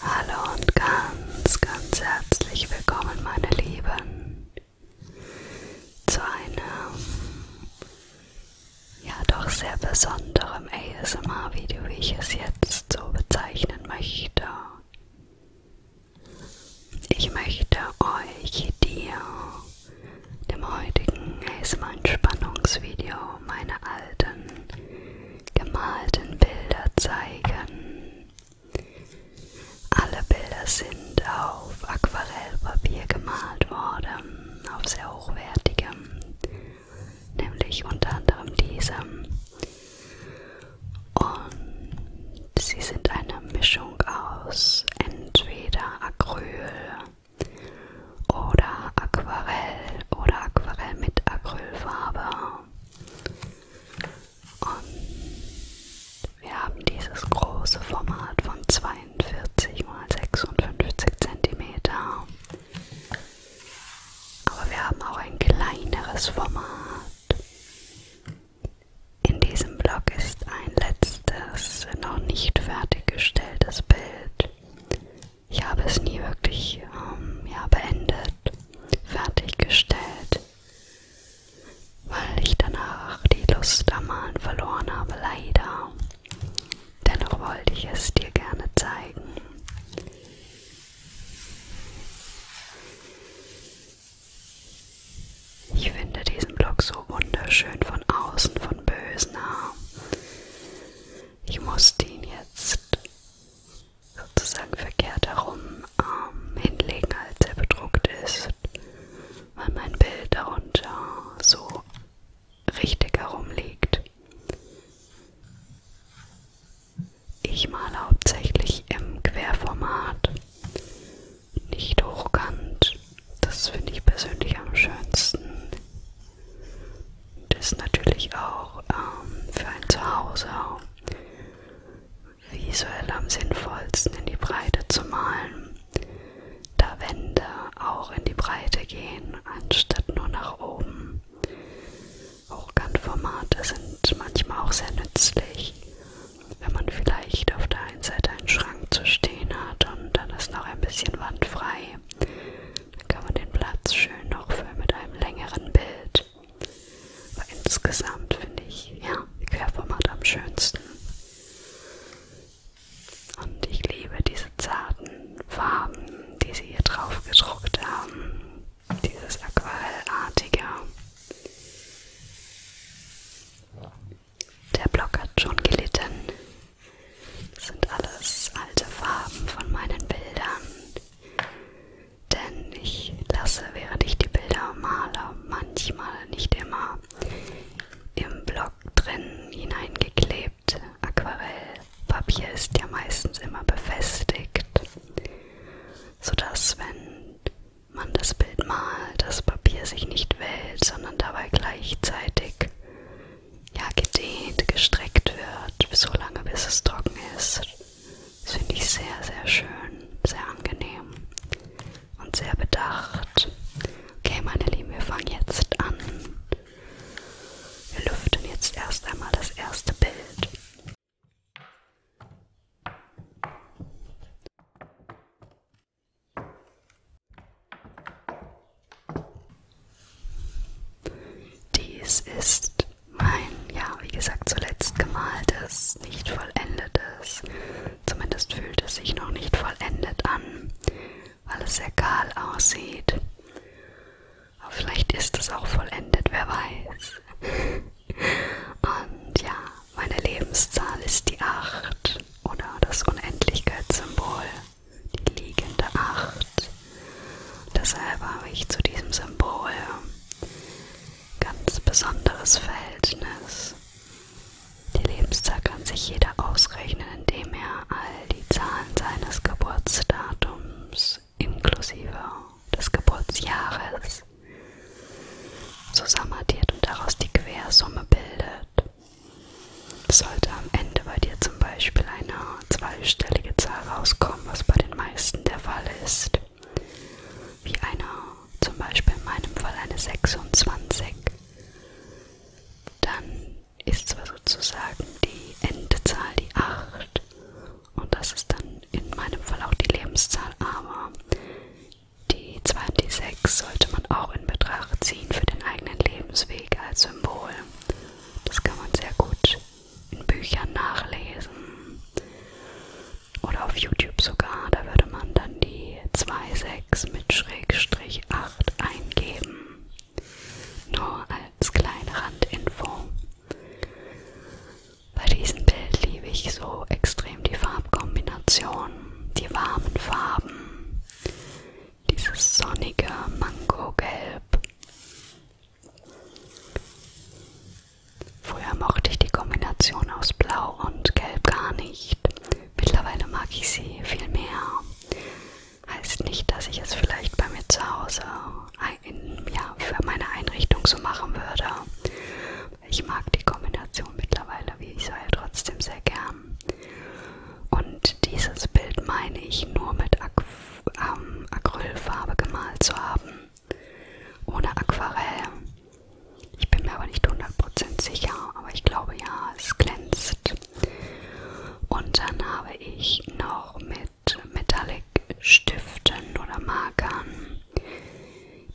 Hallo und ganz, ganz herzlich willkommen, meine Lieben, zu einem ja doch sehr besonderem ASMR-Video, wie ich es jetzt so bezeichnen möchte. Ich möchte euch dir, dem heutigen ASMR-Entspannungsvideo, genau meine alten gemalten Bilder zeigen. Alle Bilder sind auf Aquarellpapier gemalt worden, auf sehr hochwertigem, nämlich unter anderem diesem. Und sie sind eine Mischung aus entweder Acryl oder Aquarell oder Aquarell mit Acrylfarbe. Und wir haben dieses große Format von 42 x 56 cm. Aber wir haben auch ein kleineres Format. In diesem Blog ist ein letztes, noch nicht fertiggestelltes Bild ich habe es nie wirklich ähm, ja, beendet, fertiggestellt, weil ich danach die Lust am Malen verloren habe, leider. Dennoch wollte ich es dir gerne zeigen. Ich finde diesen Block so wunderschön von außen, von Bösner ich musste ihn jetzt sozusagen verkehrt herum ähm, hinlegen, als er bedruckt ist, weil mein Bild darunter so richtig herumliegt. Ich male hauptsächlich im Querformat, nicht hochkant. Das finde ich persönlich am schönsten ist natürlich auch ähm, für ein Zuhause visuell am sinnvollsten in die Breite zu malen, da Wände auch in die Breite gehen, anstatt nur nach oben. Hochkantformate sind manchmal auch sehr nützlich, wenn man vielleicht auf der einen Seite einen Schrank zu stehen hat und dann ist noch ein bisschen wandfrei, kann man den Platz schön noch füllen mit einem längeren Bild. Aber insgesamt finde ich ja Querformat am schönsten. Und ich liebe diese zarten Farben, die sie hier drauf gedruckt haben. Dieses Aquarellartige. Der Block hat schon gelitten. Das sind alles alte Farben von meinen Bildern. Denn ich lasse, während ich die Bilder male, manchmal, nicht immer, im Block drin hineingeklebt. Aquarellpapier ist ja meistens immer befestigt, sodass, wenn man das Bild malt, das Papier sich nicht wählt, sondern dabei gleichzeitig ja, gedehnt, gestreckt wird, so lange bis es trocken ist. Das finde ich sehr, sehr schön, sehr angenehm und sehr bedacht. Okay, meine Lieben, wir fangen jetzt an. Wir lüften jetzt erst einmal das erste Bild. Dies ist mein, ja, wie gesagt, zuletzt gemaltes, nicht vollendetes. Zumindest fühlt es sich noch nicht vollendet an, weil es sehr kahl aussieht. Aber vielleicht ist es auch vollendet, wer weiß. Und ja, meine Lebenszahl ist die 8 oder das Unendlichkeitssymbol die liegende Acht. Deshalb habe ich zu diesem Symbol ganz besonderes Verhältnis. Die Lebenszahl kann sich jeder ausrechnen, indem er all die Zahlen seines Geburtsdatums inklusive des Geburtsjahres zusammenaddiert und daraus die Quersumme bildet. Sollte am Ende bei dir zum Beispiel eine zweistellige Zahl rauskommen, was bei den meisten der Fall ist, wie eine, zum Beispiel in meinem Fall eine 26, dann ist zwar sozusagen die Endzahl die 8 und das ist dann in meinem Fall auch die Lebenszahl, aber die 2 und die 6 sollte man auch in Betracht ziehen für den eigenen Lebensweg als Symbol das kann man sehr gut in Büchern nachlesen. Oder auf YouTube sogar. Da würde man dann die 2,6 mit Schrägstrich 8 eingeben. Nur als kleine Randinfo. Bei diesem Bild liebe ich so extrem die Farbkombination, die warmen Farben. Dieses sonnige Mangogelb. Früher mochte ich die Kombination aus Blau und Gelb gar nicht. Mittlerweile mag ich sie viel mehr. Heißt nicht, dass ich es vielleicht bei mir zu Hause in, ja, für meine Einrichtung so machen würde. Ich mag die Kombination mittlerweile, wie ich sage, trotzdem sehr gern. Und dieses Bild meine ich nur mit Aqu ähm, Acrylfarbe gemalt zu haben, ohne Aquarell. Ich bin mir aber nicht 100% sicher, aber ich glaube ja, es glänzt. Und dann habe ich noch mit Metallic Stiften oder Markern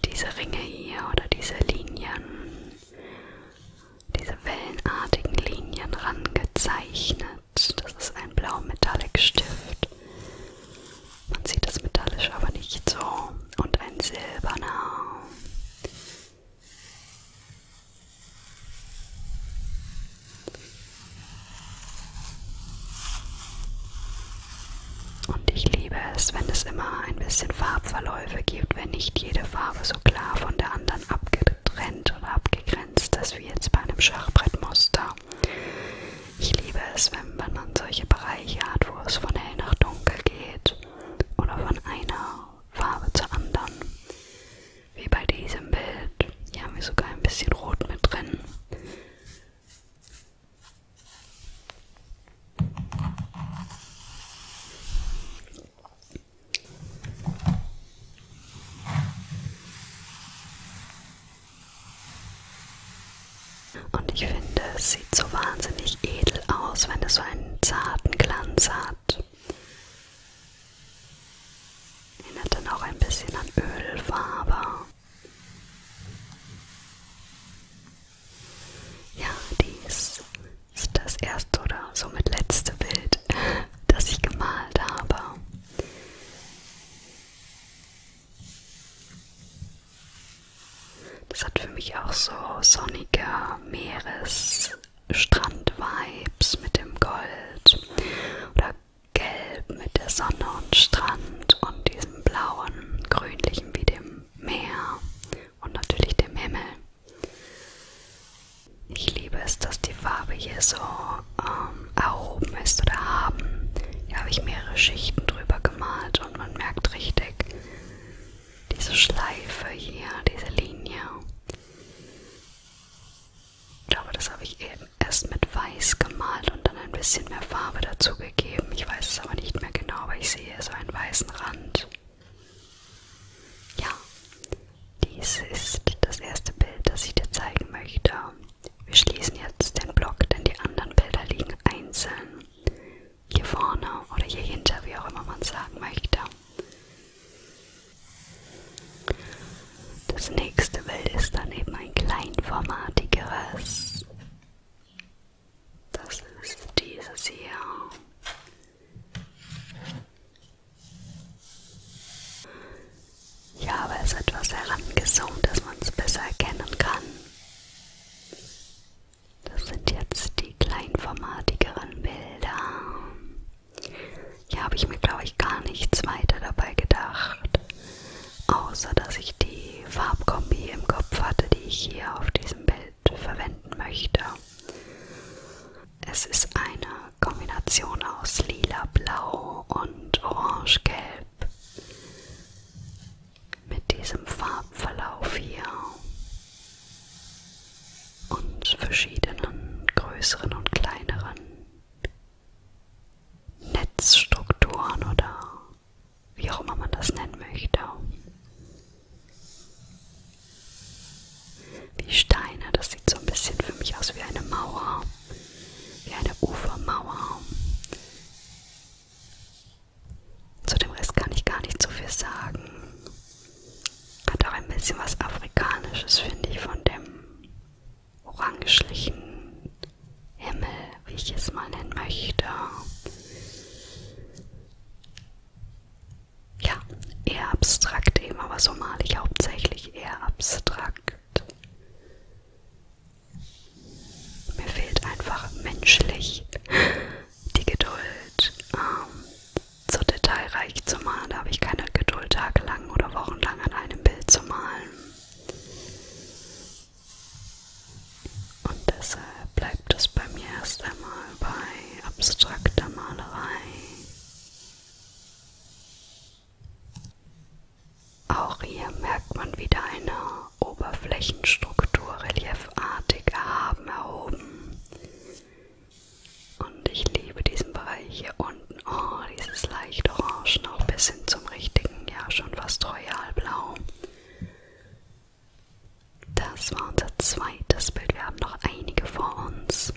diese Ringe hier oder diese Linien, diese wellenartigen Linien rangezeichnet. Stift. Das ist ein blauer Metallic Stift. Man sieht das metallisch aber nicht so. Und ein silberner. Und ich liebe es, wenn es immer ein bisschen Farbverläufe gibt, wenn nicht jede Farbe so klar von der anderen dann abgetrennt oder abgegrenzt ist, wie jetzt bei einem Schachbrettmuster. Ich liebe es, wenn man solche Bereiche hat, wo es von hell nach dunkel geht oder von einer Farbe zur anderen. Wie bei diesem Bild. Hier haben wir sogar ein bisschen Rot mit drin. Und ich finde, es sieht so wahnsinnig edel aus, wenn es so einen zarten Glanz hat. Erinnert dann auch ein bisschen an Ölfarbe. Ja, dies ist das erste oder somit letzte Bild, das ich gemalt habe. Das hat für mich auch so sonnige Meeresstrand-Vibes mit dem Gold oder Gelb mit der Sonne und Strand und diesem blauen, grünlichen wie dem Meer und natürlich dem Himmel. Ich liebe es, dass die Farbe hier so ähm, erhoben ist oder haben. Hier habe ich mehrere Schichten drüber gemalt und man merkt richtig diese Schleife hier, diese Linie. Ich glaube, das habe ich eben erst mit Weiß gemalt und dann ein bisschen mehr Farbe dazu gegeben. Ich weiß es aber nicht mehr genau, aber ich sehe so einen weißen Rand. Ja, dies ist das erste Bild, das ich dir zeigen möchte. Wir schließen jetzt den Block, denn die anderen Bilder liegen einzeln. Hier vorne oder hier hinter, wie auch immer man sagen möchte. Das nächste Bild ist dann eben ein kleinformatigeres. Das ist dieses hier. Ich habe es etwas herangezoomt, dass man es besser erkennen kann. Das sind jetzt die kleinformatigeren Bilder. Hier habe ich mir, glaube ich, gar nichts weiter dabei gedacht, außer dass ich die Farbkombi im Kopf hatte, die ich hier auf diesem Bild verwenden möchte. Es ist eine Kombination aus lila-blau und orange-gelb. Mit diesem Farbverlauf hier und verschiedenen größeren und kleineren Netzstrukturen oder wie auch immer man das nennen möchte wie Steine. Das sieht so ein bisschen für mich aus wie eine Mauer, wie eine Ufermauer. Zu dem Rest kann ich gar nicht so viel sagen. Hat auch ein bisschen was Afrikanisches, finde ich, von dem orangelichen Himmel, wie ich es mal nennen möchte ja, eher abstrakt eben, aber so male ich hauptsächlich eher abstrakt. Mir fehlt einfach menschlich die Geduld, ähm, so detailreich zu malen. Da habe ich keine Geduld, tagelang oder wochenlang an einem Bild zu malen. Und deshalb bleibt es bei mir erst einmal bei abstrakter Malerei. Auch hier merkt man wieder eine Oberflächenstruktur reliefartig erhaben, erhoben. Und ich liebe diesen Bereich hier unten. Oh, dieses leicht Orange noch bis hin zum richtigen, ja schon fast royalblau. Das war unser zweites Bild. Wir haben noch einige vor uns.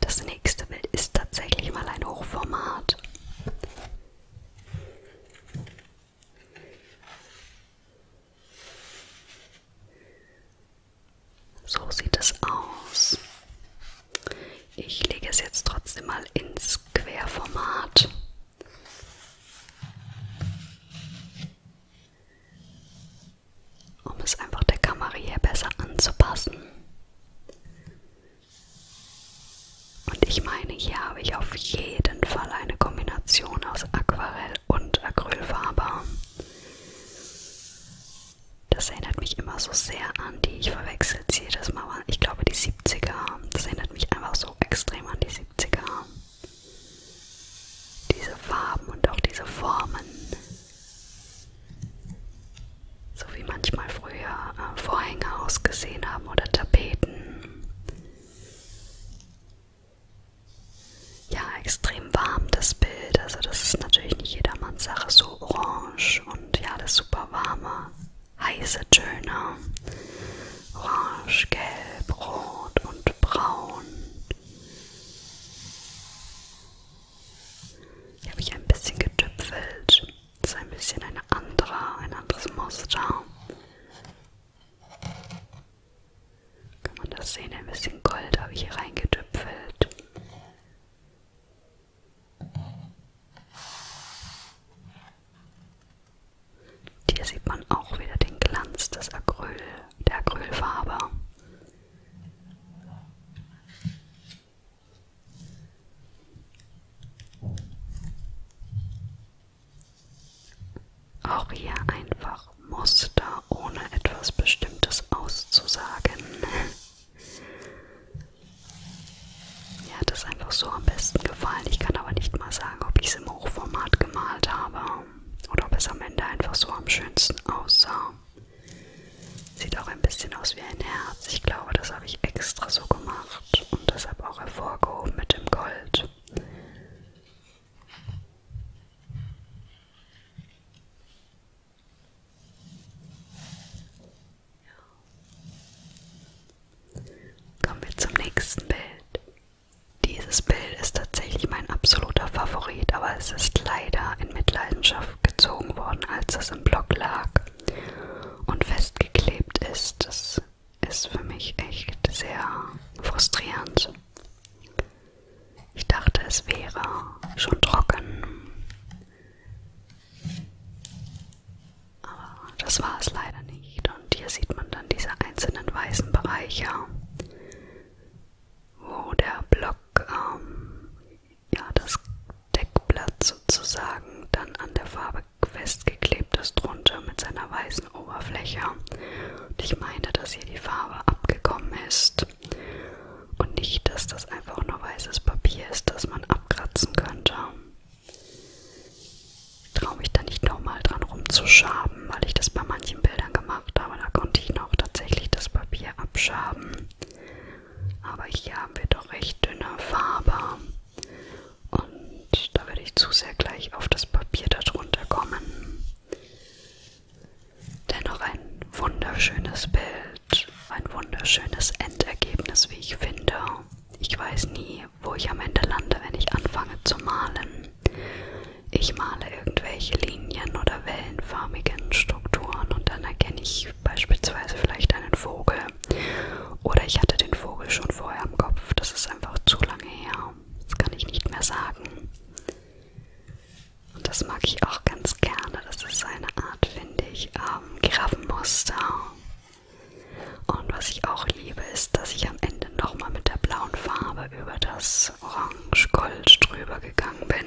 Das nächste Bild ist tatsächlich mal ein Hochformat. So sieht es aus. Ich lege es jetzt trotzdem mal ins Querformat um es einfach der Kamera hier besser anzupassen. Und ich meine, hier habe ich auf jeden Fall eine Kombination aus Aquarell und Acrylfarbe. Das erinnert mich immer so sehr an die, ich verwechsel es jedes Mal, ich glaube die 70er. Das erinnert mich einfach so extrem an die 70er diese Farben und auch diese Formen, so wie manchmal früher äh, Vorhänge ausgesehen haben oder Tapeten. Ja, extrem warm das Bild, also das ist natürlich nicht jedermanns Sache, so orange und ja, das super warme, heiße Töne, orange, gelb, rot und braun. Hier habe ich ein bisschen getüpfelt. Das ist ein bisschen eine andere, ein anderes Muster. Kann man das sehen? Ein bisschen Gold habe ich hier reingetüpfelt. Hier sieht man auch wieder den Glanz des Acryl, der Acrylfarbe. Auch hier einfach Muster, ohne etwas Bestimmtes auszusagen. Mir hat es einfach so am besten gefallen. Ich kann aber nicht mal sagen, ob ich es im Hochformat gemalt habe oder ob es am Ende einfach so am schönsten aussah. Sieht auch ein bisschen aus wie ein Herz. Ich glaube, das habe ich extra so gemacht und deshalb auch hervorgehoben mit dem Gold. Kommen wir zum nächsten Bild. Dieses Bild ist tatsächlich mein absoluter Favorit, aber es ist leider in Mitleidenschaft gezogen worden, als es im Block lag und festgeklebt ist. Das ist für mich echt sehr frustrierend. Ich dachte, es wäre schon trocken. Aber das war es leider nicht. Und hier sieht man dann diese einzelnen weißen Bereiche, wo der Block, ähm, ja, das Deckblatt sozusagen, dann an der Farbe festgeklebt ist drunter mit seiner weißen Oberfläche. Und ich meine, dass hier die Farbe abgekommen ist und nicht, dass das einfach nur weißes Papier ist, das man abkratzen könnte traue mich da nicht nochmal dran rumzuschaben, weil ich das bei manchen Bildern gemacht habe. Da konnte ich noch tatsächlich das Papier abschaben. Aber hier haben wir doch recht dünne Farbe. Und da werde ich zu sehr gleich auf das Papier darunter kommen. Dennoch ein wunderschönes Bild, ein wunderschönes Endergebnis, wie ich finde. Ich weiß nie, wo ich am Ende lande, wenn ich anfange zu malen. Ich male irgendwelche Linien oder wellenförmigen Strukturen und dann erkenne ich beispielsweise vielleicht einen Vogel. Oder ich hatte den Vogel schon vorher im Kopf. Das ist einfach zu lange her. Das kann ich nicht mehr sagen. Und das mag ich auch ganz gerne. Das ist eine Art, finde ich, ähm, Giraffenmuster. Und was ich auch auch liebe, ist, dass ich am Ende nochmal mit der blauen Farbe über das Orange-Gold drüber gegangen bin.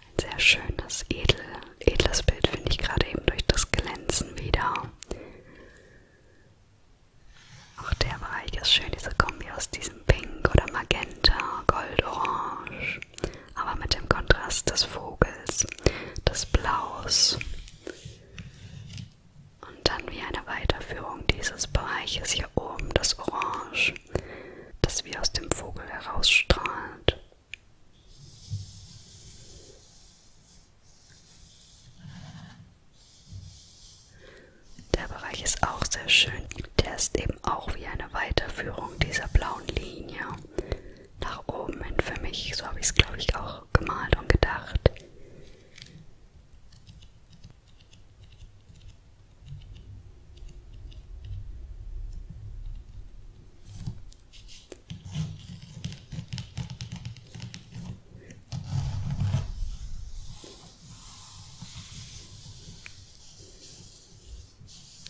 Ein sehr schönes, edel, edles Bild finde ich gerade eben durch das Glänzen wieder. Auch der Bereich ist schön, diese Kombi aus diesem Pink oder Magenta, Gold-Orange, aber mit dem Kontrast des Vogels, des Blaus. Und dann wie eine Weiterführung dieses Bereiches hier oben, das Orange, das wie aus dem Vogel herausstrahlt. Der Bereich ist auch sehr schön. Der ist eben auch wie eine Weiterführung dieser blauen Linie nach oben hin für mich. So habe ich es, glaube ich, auch gemalt und gedacht.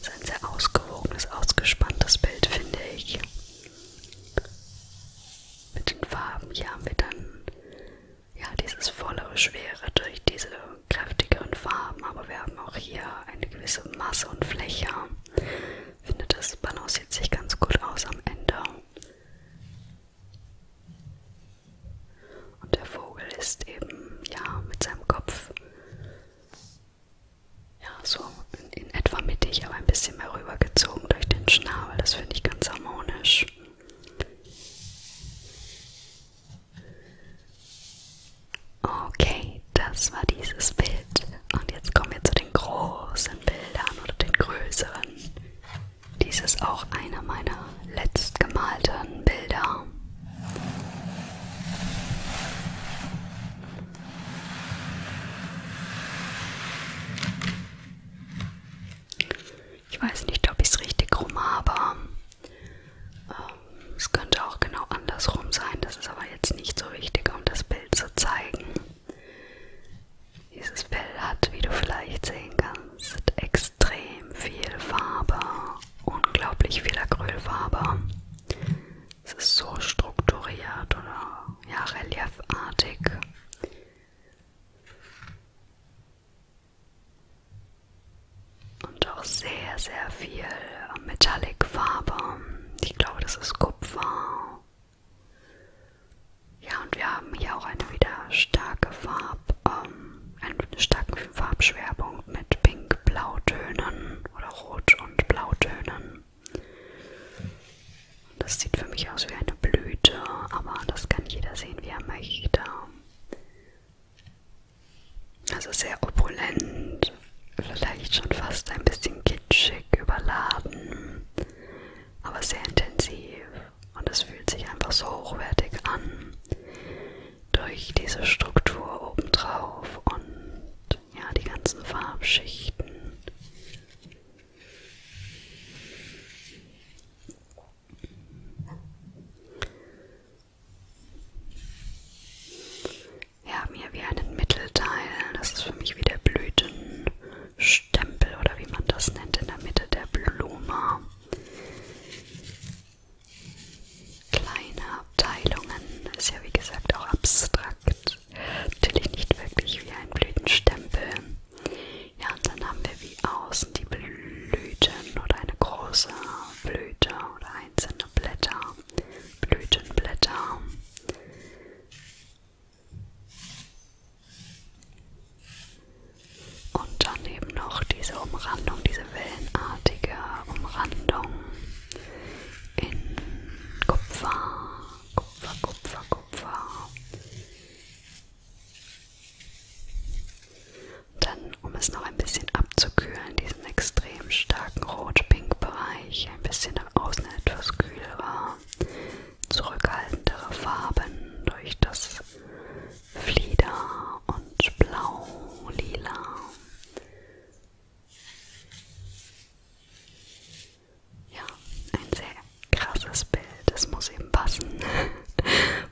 Das ist ein sehr ausgewogenes, ausgespanntes Bild, finde ich. Mit den Farben hier haben wir dann ja dieses vollere Schwere durch diese kräftigeren Farben, aber wir haben auch hier eine gewisse Masse und Fläche. Ich finde, das balanciert sich ganz gut aus am Ende. Und der Vogel ist eben ja mit seinem Kopf ja so in etwa mittig, aber ein bisschen mehr rübergezogen durch den Schnabel. Das finde ich ganz harmonisch. Okay, das war dieses Bild. Und jetzt kommen wir zu den großen Bildern oder den größeren. Dies ist auch einer meiner letztgemalten Bilder. Ich weiß nicht, ob ich es richtig rum habe. Ähm, es könnte auch genau andersrum sein. Das ist aber jetzt nicht so wichtig, um das Bild zu zeigen. Dieses Bild hat, wie du vielleicht sehen kannst, extrem viel Farbe, unglaublich viel Acrylfarbe. Es ist so strukturiert oder ja, reliefartig. Und auch sehr, sehr viel Metallic-Farbe. Ich glaube, das ist Kupfer. Ja, und wir haben hier auch eine wieder starke Farb, ähm, eine starke Farbschwerbung mit Pink-Blautönen oder Rot- und Blautönen. Und das sieht für mich aus wie eine Blüte, aber das kann jeder sehen, wie er möchte. Also sehr opulent, vielleicht schon fast ein bisschen kitschig, überladen, aber sehr intensiv. Und es fühlt sich einfach so hochwertig an durch diese Struktur obendrauf und ja, die ganzen Farbschichten. Wir haben hier wieder einen Mittelteil, das ist für mich wie der Blütenstempel oder wie man das nennt, in der Mitte der Blume. Kleine Abteilungen, ist ja wie gesagt auch abstrakt. Natürlich nicht wirklich wie ein Blütenstempel. Ja, und dann haben wir wie außen die Blüten oder eine große Blüte oder einzelne Blätter. Blütenblätter. Und dann eben noch diese Umrandung, diese wellenartige Umrandung in Kupfer Kupfer, Kupfer, Kupfer. Dann, um es noch ein bisschen abzukühlen, diesen extrem starken Rot-Pink-Bereich, ein bisschen nach außen etwas kühlerer, zurückhaltendere Farben durch das Flieder und Blau, Lila ja, ein sehr krasses Bild. Das muss eben passen,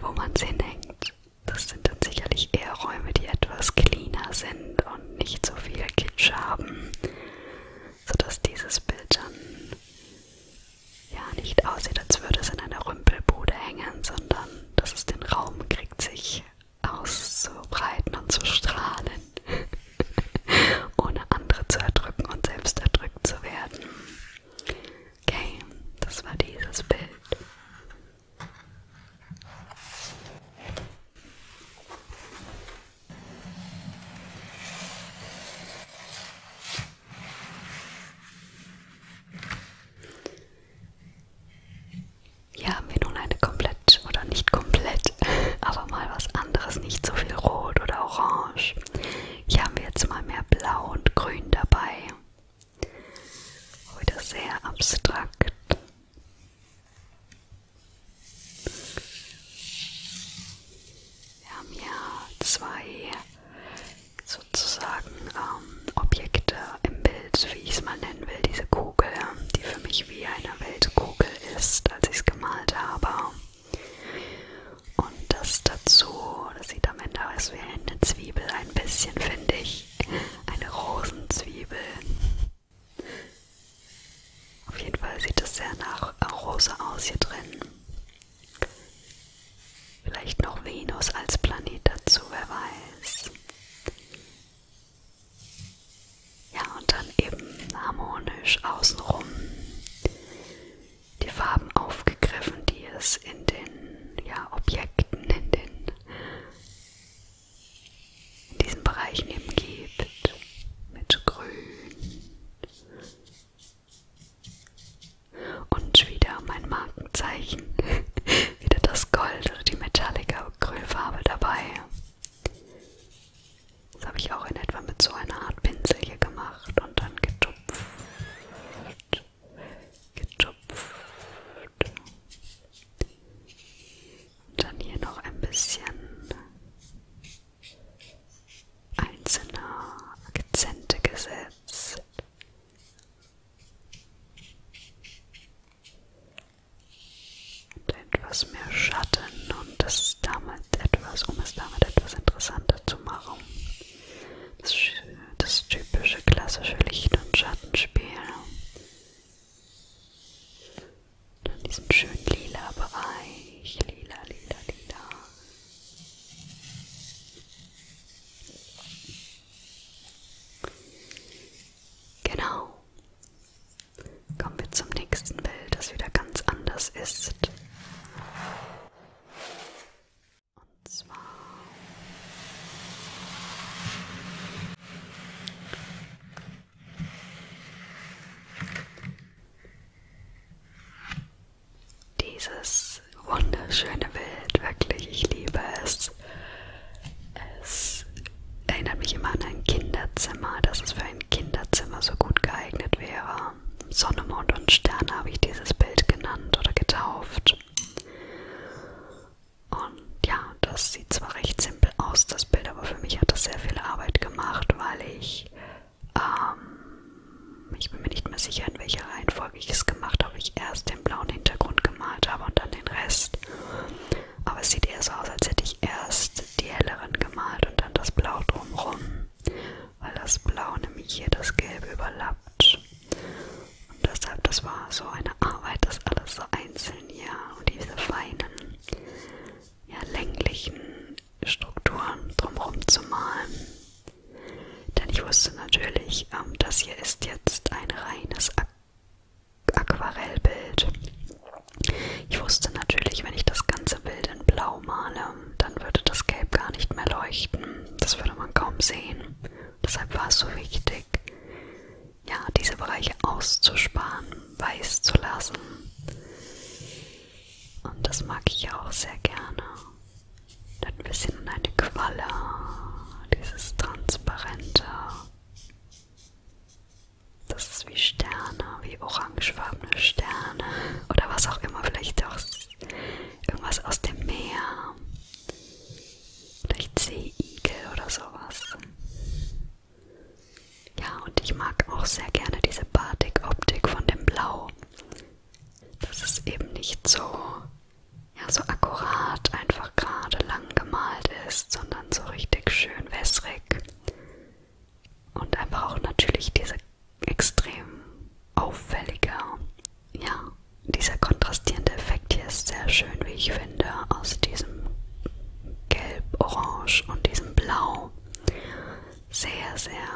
wo man es hinhängt. Das sind dann sicherlich eher Räume, die etwas cleaner sind und nicht so viel Kitsch haben, sodass dieses Bild dann ja nicht aussieht, als würde es in einer Rümpelbude hängen, sondern dass es den Raum kriegt, sich auszubreiten und zu strahlen. ohne andere zu erdrücken und selbst erdrückt zu werden. Okay, das war dieses Bild. Hier haben wir nun eine komplett oder nicht komplett, aber mal was anderes, nicht so viel Rot oder Orange Orange. Hier haben wir jetzt mal mehr Blau und Grün dabei. Wieder sehr abstrakt. Wir haben ja zwei sozusagen ähm, Objekte im Bild, wie ich es mal nennen will, diese Kugel, die für mich wie eine Weltkugel ist, als ich es gemalt habe. Und das dazu, das sieht am Ende aus wie eine Zwiebel, ein bisschen finde ich. Eine Rosenzwiebel. Auf jeden Fall sieht es sehr nach Rose aus hier drin. Vielleicht noch Venus als Planet dazu, wer weiß. Ja, und dann eben harmonisch außenrum die Farben aufgegriffen, die es in den ja, Objekten, in, den, in diesen Bereichen eben gibt. Mit Grün. Und wieder mein Markenzeichen. wieder das Gold oder die Metallica Acrylfarbe dabei. Das habe ich auch in etwa mit so einer Art Pinsel hier gemacht und dann getupft. Getupft. Und dann hier noch ein bisschen einzelne Akzente gesetzt. Und etwas mehr Schatten und das ist damit etwas, um es damit etwas interessanter zu machen. Das, das typische klassische Licht- und Schattenspiel. Dann diesen schönen lila Bereich. Lila, lila, lila. Genau. Kommen wir zum nächsten Bild, das wieder ganz anders ist. Und zwar dieses wunderschöne Bild, wirklich, ich liebe es. Es erinnert mich immer an ein Kinderzimmer, dass es für ein Kinderzimmer so gut geeignet wäre. Sonne, Mond und Sterne habe ich dieses Bild genannt oder getauft. Und ja, das sieht zwar recht simpel aus, das Bild, aber für mich hat das sehr viel Arbeit gemacht, weil ich, ähm, ich bin mir nicht mehr sicher, in welcher Reihenfolge ich es gemacht habe. Ich erst den blauen Hintergrund gemalt habe und dann den Rest. Aber es sieht eher so aus, als hätte ich erst die helleren gemalt und dann das Blau drumherum weil das Blau nämlich hier das Gelb überlappt. Und deshalb, das war so eine Arbeit, das alles so einzeln hier und diese feinen, ja, länglichen Strukturen drumherum zu malen. Denn ich wusste natürlich, ähm, das hier ist jetzt ein reines Aqu Aquarellbild. Ich wusste natürlich, wenn ich das ganze Bild in Blau male, ähm, dann würde das Gelb gar nicht mehr leuchten. Das würde man kaum sehen. Deshalb war es so wichtig, ja, diese Bereiche auszusparen, weiß zu lassen. Und das mag ich auch sehr gerne. Dann ein bisschen in eine Qualle, dieses transparente. Das ist wie Sterne, wie Orangen orangefarbene Sterne oder was auch immer, vielleicht auch irgendwas aus dem Meer. Vielleicht Seeigel oder sowas. Ja, und ich mag auch sehr gerne diese Batik-Optik von dem Blau. Das ist eben nicht so, ja, so akkurat, einfach gerade lang gemalt ist, sondern so richtig schön wässrig. Und einfach auch natürlich diese extrem auffälliger. Ja, dieser kontrastierende Effekt hier ist sehr schön, wie ich finde, aus diesem Gelb, Orange und diesem Blau. Sehr, sehr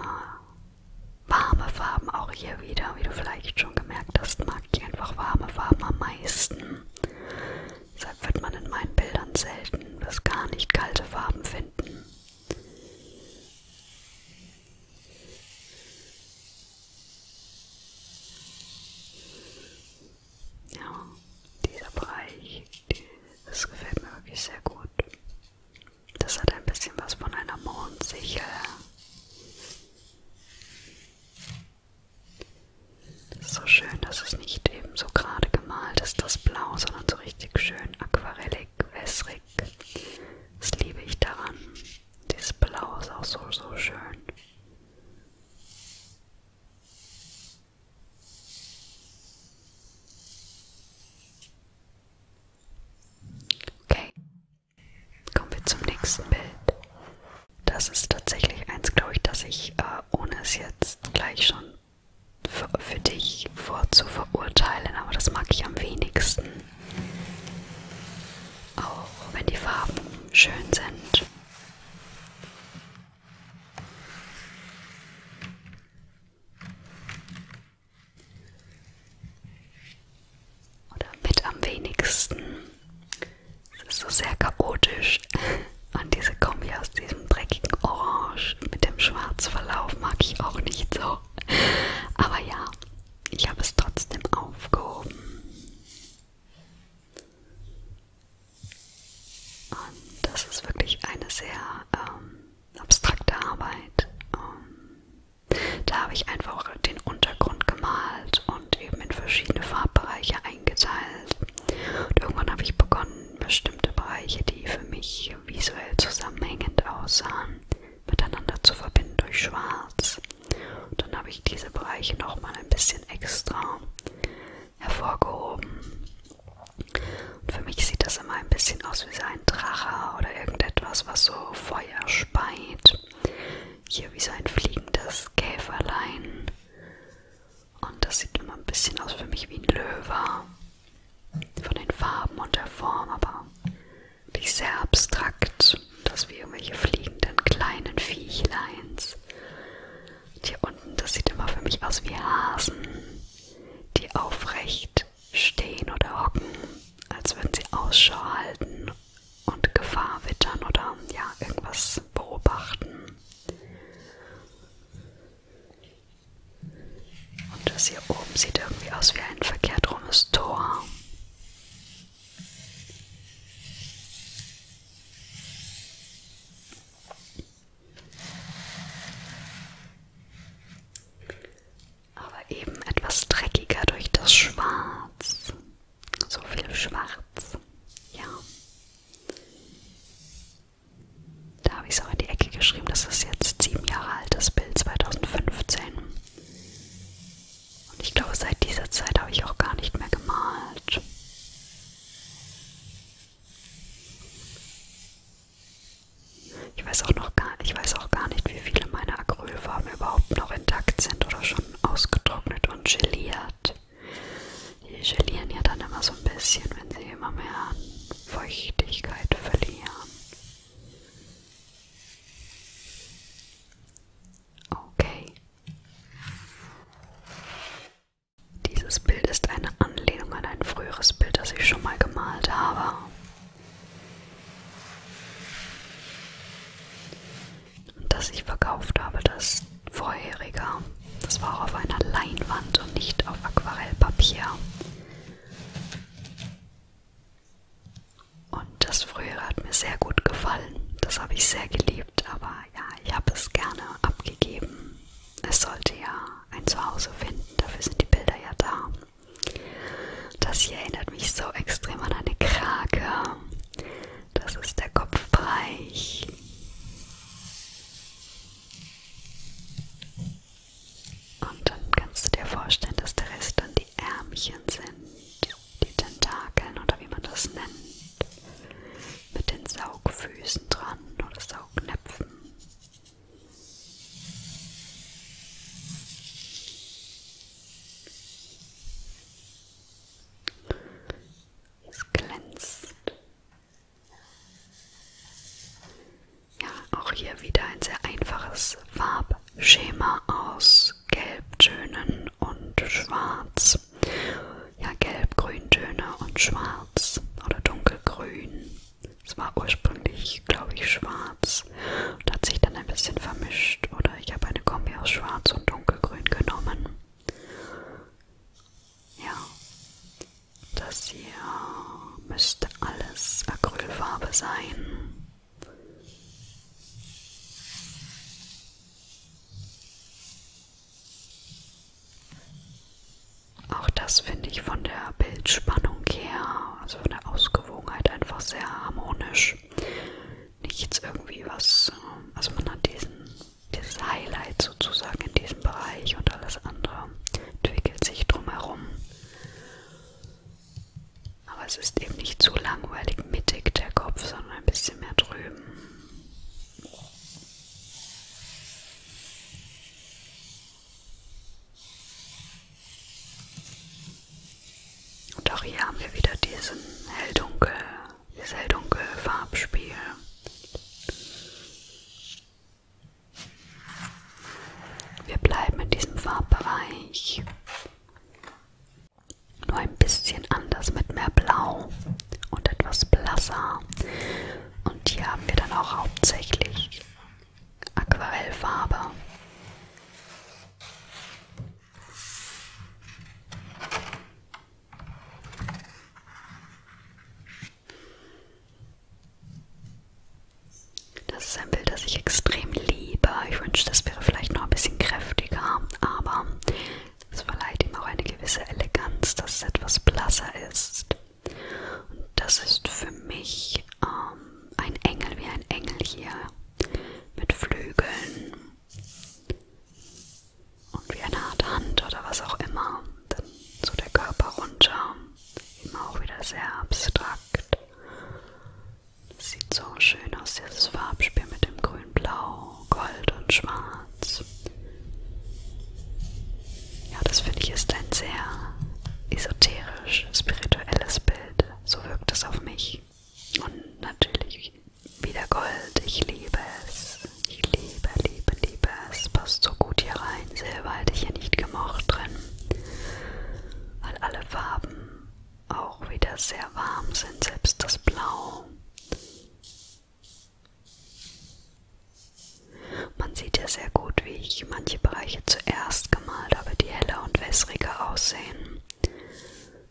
warme Farben, auch hier wieder, wie du vielleicht schon gemerkt hast, mag ich einfach warme Farben am meisten. Deshalb wird man in meinen Bildern selten bis gar nicht kalte Farben finden. Ja, dieser Bereich, das gefällt mir wirklich sehr gut. Das hat ein bisschen was von einer Mondsichel. Das ist so schön, dass es nicht eben so gerade gemalt ist, das Blau, sondern so richtig schön aquarellig wässrig, wässrig. Das liebe ich daran. Dieses Blau ist auch so, so schön. Okay, kommen wir zum nächsten Bild. Das ist tatsächlich eins, glaube ich, das ich, äh, ohne es jetzt gleich schon für, für dich vorzuverurteilen, aber das mag ich am wenigsten. Auch wenn die Farben schön sind. Oder mit am wenigsten. Es ist so sehr chaotisch. Und diese Kombi aus diesen diesem dreckigen Orange mit dem Schwarzverlauf mag ich auch nicht so. Aber ja, ich habe es trotzdem aufgehoben. Und das ist wirklich eine sehr ähm, abstrakte Arbeit. Ähm, da habe ich einfach den Untergrund gemalt und eben in verschiedene Farbbereiche eingeteilt. Und irgendwann habe ich begonnen, bestimmte Bereiche, die für mich farblich und visuell zusammenhängend aussahen, miteinander zu verbinden durch Schwarz. Und dann habe ich diese Bereiche nochmal ein bisschen extra hervorgehoben. Und für mich sieht das immer ein bisschen aus wie so ein Drache oder irgendetwas, was so Feuer speit. Hier wie so ein fliegendes Käferlein. Und das sieht immer ein bisschen aus für mich wie ein Löwe von den Farben und der Form, aber nicht sehr abstrakt, dass wir irgendwelche fliegenden kleinen Viechleins. Und hier unten, das sieht immer für mich aus wie Hasen, die aufrecht stehen oder hocken, als würden sie Ausschau halten und Gefahr wittern oder ja, irgendwas beobachten. Und das hier oben sieht irgendwie aus wie ein verkehrt rumes Tor. Aber eben etwas dreckiger durch das Schwarz. So viel Schwarz. Ja. Da habe ich es auch in die Ecke geschrieben. Das ist jetzt sieben Jahre altes Bild, 2015. Und ich glaube, seit dieser Zeit habe ich auch gar nicht mehr gemalt. Ich weiß auch noch gar, ich weiß auch gar nicht, wie viele meiner Acrylfarben überhaupt noch intakt sind oder schon ausgetrocknet und geliert. Die gelieren ja dann immer so ein bisschen, wenn sie immer mehr Feuchtigkeit verlieren. Okay. Dieses Bild ist eine Anlehnung an ein früheres Bild, das ich schon mal gemalt habe. Und das ich verkauft habe, das vorherige. Das war auch auf einer Leinwand und nicht auf Aquarellpapier. Und das frühere hat mir sehr gut gefallen. Das habe ich sehr geliebt, aber ja, ich habe es gerne abgegeben. Es sollte ja ein Zuhause finden, dafür sind die Bilder ja da. Das hier erinnert mich so extrem an eine Krake. Das ist der Kopfbereich. Und dann kannst du dir vorstellen, dass der Rest dann die Ärmchen sind, die Tentakeln oder wie man das nennt, mit den Saugfüßen dran oder Saugnäpfen. Es glänzt ja, auch hier wieder ein sehr einfaches Farbschema aus Gelbtönen und Schwarz. Ja, Gelb-Grüntöne und Schwarz oder dunkelgrün. Es war ursprünglich, glaube ich, schwarz und hat sich dann ein bisschen vermischt. Oder ich habe eine Kombi aus Schwarz und Dunkelgrün genommen. Ja, das hier müsste alles Acrylfarbe sein. Auch das finde ich von der Bildspannung her, also von der Ausgewogenheit einfach sehr harmonisch. Nichts irgendwie was, also man hat diesen, dieses Highlight sozusagen in diesem Bereich und alles andere entwickelt sich drumherum. Aber es ist eben nicht zu langweilig mittig der Kopf, sondern ein bisschen mehr drüben. Und auch hier haben wir wieder diesen helldunkel, dieses helldunkel Farbspiel. Wir bleiben in diesem Farbbereich. Nur ein bisschen anders mit mehr Blau und etwas blasser. Und hier haben wir dann auch hauptsächlich Aquarellfarbe. Das ist ein Bild, das ich extrem liebe. Ich wünsche, das wäre vielleicht noch ein bisschen kräftiger, aber es verleiht ihm auch eine gewisse Eleganz, dass es etwas blasser ist. Und das ist für mich ähm, ein Engel, wie ein Engel hier mit Flügeln und wie eine Art Hand oder was auch immer dann so der Körper runter, immer auch wieder sehr abstrakt. Das sieht so schön aus, dieses Farbspiel mit dem Grün, Blau, Gold und Schwarz. Ja, das finde ich ist ein sehr esoterisch, spirituelles Bild. So wirkt es auf mich. Und natürlich wieder Gold. Ich liebe es. Ich liebe, liebe, liebe es. Passt so gut hier rein. Silber hätte ich hier nicht gemocht drin weil alle Farben auch wieder sehr warm sind, selbst das Blau. Man sieht ja sehr gut, wie ich manche Bereiche zuerst gemalt habe, die heller und wässriger aussehen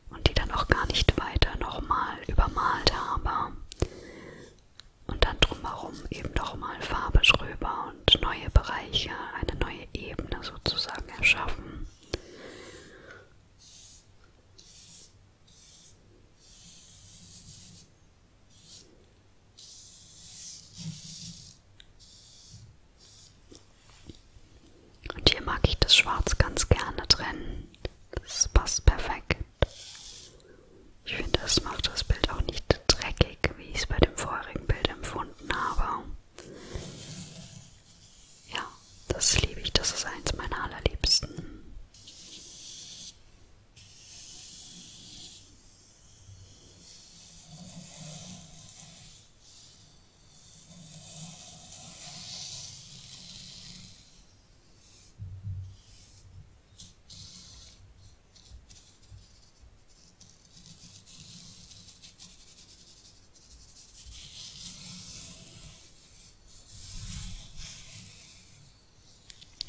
und die dann auch gar nicht weiter nochmal übermalt habe und dann drumherum eben nochmal Farbe drüber und neue Bereiche, eine neue Ebene sozusagen erschaffen. Und hier mag ich das Schwarz ganz gerne trennen. Das passt perfekt. Ich finde, das macht das Bild auch nicht dreckig, wie ich es bei dem vorherigen Bild empfunden habe. Ja, das liebe ich. Das ist eins meiner allerliebsten.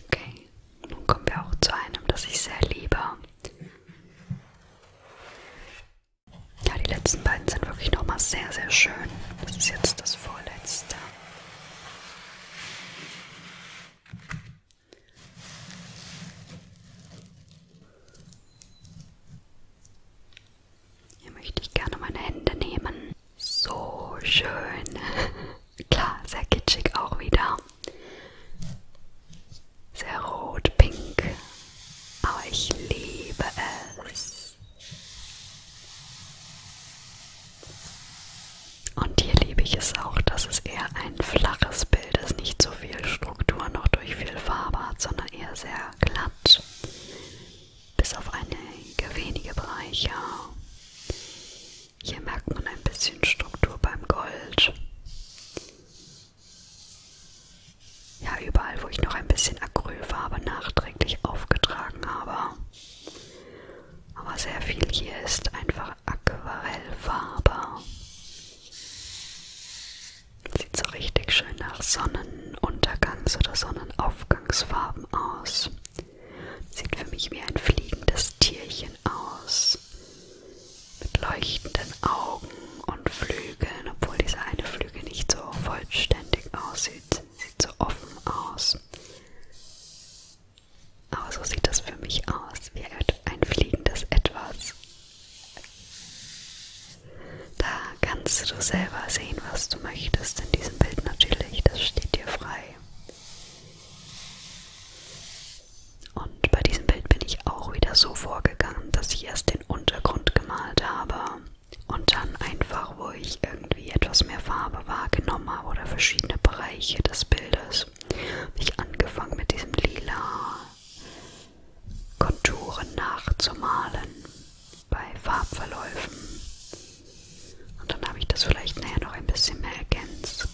Okay, nun kommen wir auch zu einem, das ich sehr liebe. Ja, die letzten beiden sind wirklich nochmal sehr, sehr schön. Das ist jetzt das vorletzte. Hier möchte ich gerne meine Hände nehmen. So schön. Klar, sehr kitschig auch wieder. Sehr rot, pink. Aber ich liebe es. Und hier liebe ich es auch, dass es eher ein flaches Bild ist, nicht so viel Struktur noch durch viel Farbe hat, sondern eher sehr glatt, bis auf einige wenige Bereiche. Hier merkt man ein bisschen Struktur beim Gold. Ja, überall, wo ich noch ein bisschen Acrylfarbe nachträglich aufgetragen habe. Aber sehr viel hier ist einfach Aquarellfarbe. Sieht so richtig schön nach Sonnenuntergangs- oder Sonnenaufgangsfarben aus. Sieht für mich wie ein fliegendes Tierchen aus. Mit leuchtenden Augen und Flügeln, obwohl dieser eine Flügel nicht so vollständig aussieht. Sieht so offen aus. Aber so sieht das für mich aus, wie ein fliegendes Etwas. Da kannst du selber sehen, was du möchtest in diesem Bild natürlich, das steht dir frei. Und bei diesem Bild bin ich auch wieder so vorgegangen, dass ich erst den Untergrund gemalt habe und dann einfach, wo ich irgendwie etwas mehr Farbe wahrgenommen habe oder verschiedene Bereiche des Bildes, habe ich angefangen mit diesem lila Konturen nachzumalen bei Farbverläufen. Und dann habe ich das vielleicht näher noch ein bisschen mehr ergänzt,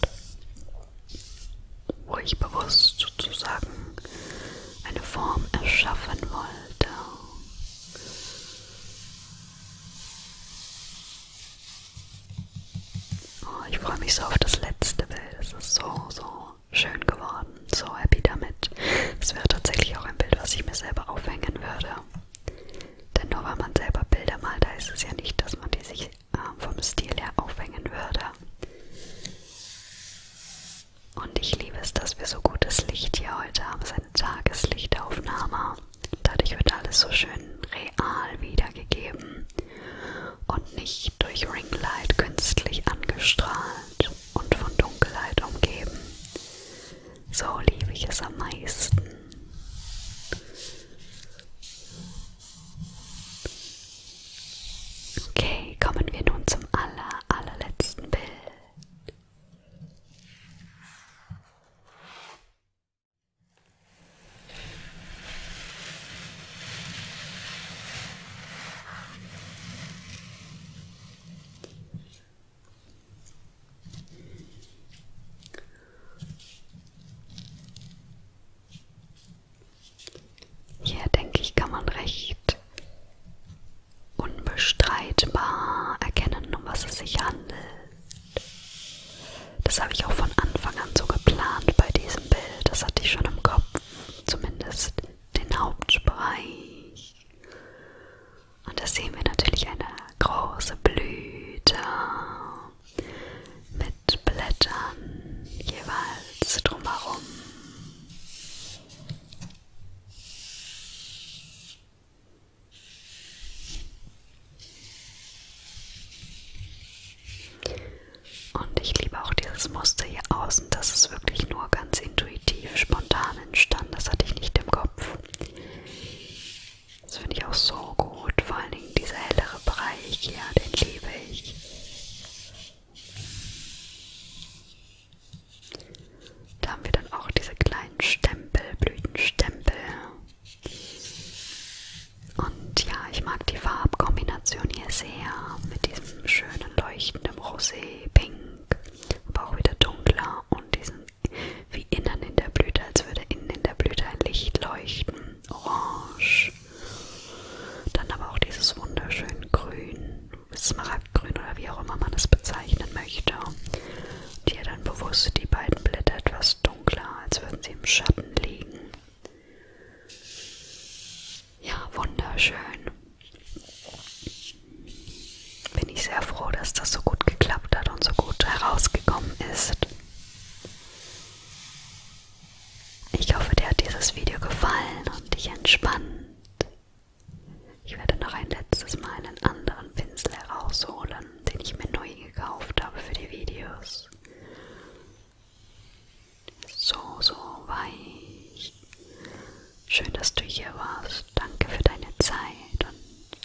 wo ich bewusst sozusagen eine Form erschaffen wollte. Oh, ich freue mich so auf das letzte Bild. Es ist so, so schön geworden. So happy damit. Es wäre tatsächlich auch ein Bild, was ich mir selber aufhängen würde. Denn nur weil man selber Bilder malt, heißt es ja nicht, dass man die sich äh, vom Stil her aufhängen würde. Und ich liebe es, dass wir so gutes Licht hier heute haben. Es ist eine Tageslichtaufnahme. Dadurch wird alles so schön real wiedergegeben und nicht durch Ringlight künstlich angestrahlt und von Dunkelheit umgeben. So liebe ich es am meisten. Okay, kommen wir nun zum aller, allerletzten Bild. Hier denke ich, kann man recht unbestreitbar erkennen, um was es sich handelt. Das habe ich auch von Anfang an so geplant bei diesem Bild. Das hatte ich schon im Kopf. Zumindest den Hauptbereich. Und da sehen wir natürlich eine große Blüte mit Blättern jeweils drumherum. Und ich liebe auch dieses Muster hier außen. Das ist wirklich nur ganz intuitiv, spontan entstanden. Das hatte ich nicht im Kopf. Das finde ich auch so gut. Vor allen Dingen dieser hellere Bereich hier, den liebe ich. Da haben wir dann auch diese kleinen Stempel, Blütenstempel. Und ja, ich mag die Farbkombination hier sehr mit diesem schönen leuchtenden Rosé-Pink, aber auch wieder dunkler und diesem wie innen in der Blüte, als würde innen in der Blüte ein Licht leuchten, orange. Dann aber auch dieses wunderschön grün, smaragdgrün oder wie auch immer man es bezeichnen möchte. Und hier dann bewusst die beiden Blätter etwas dunkler, als würden sie im Schatten liegen. Ja, wunderschön. Bin ich sehr froh, dass das so gut geklappt hat und so gut herausgekommen ist. Ich hoffe, dir hat dieses Video gefallen und dich entspannt. Ich werde noch ein letztes Mal einen anderen Pinsel herausholen, den ich mir neu gekauft habe für die Videos. So, so weich. Schön, dass du hier warst. Danke für deine Zeit und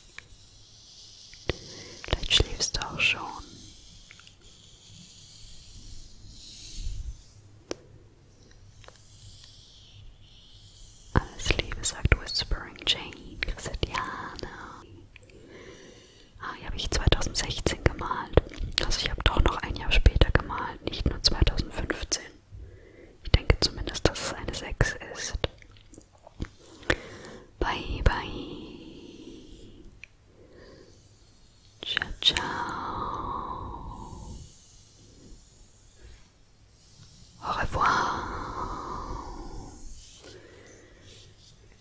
vielleicht schläfst du auch schon. Alles Liebe, sagt Whispering Jane, Christiane. Ah, hier habe ich 2016 gemalt. Also ich habe doch noch ein Jahr später gemalt, nicht nur 2015. Ich denke zumindest, dass es eine 6 ist. Bye, bye. Ciao, ciao. Au revoir.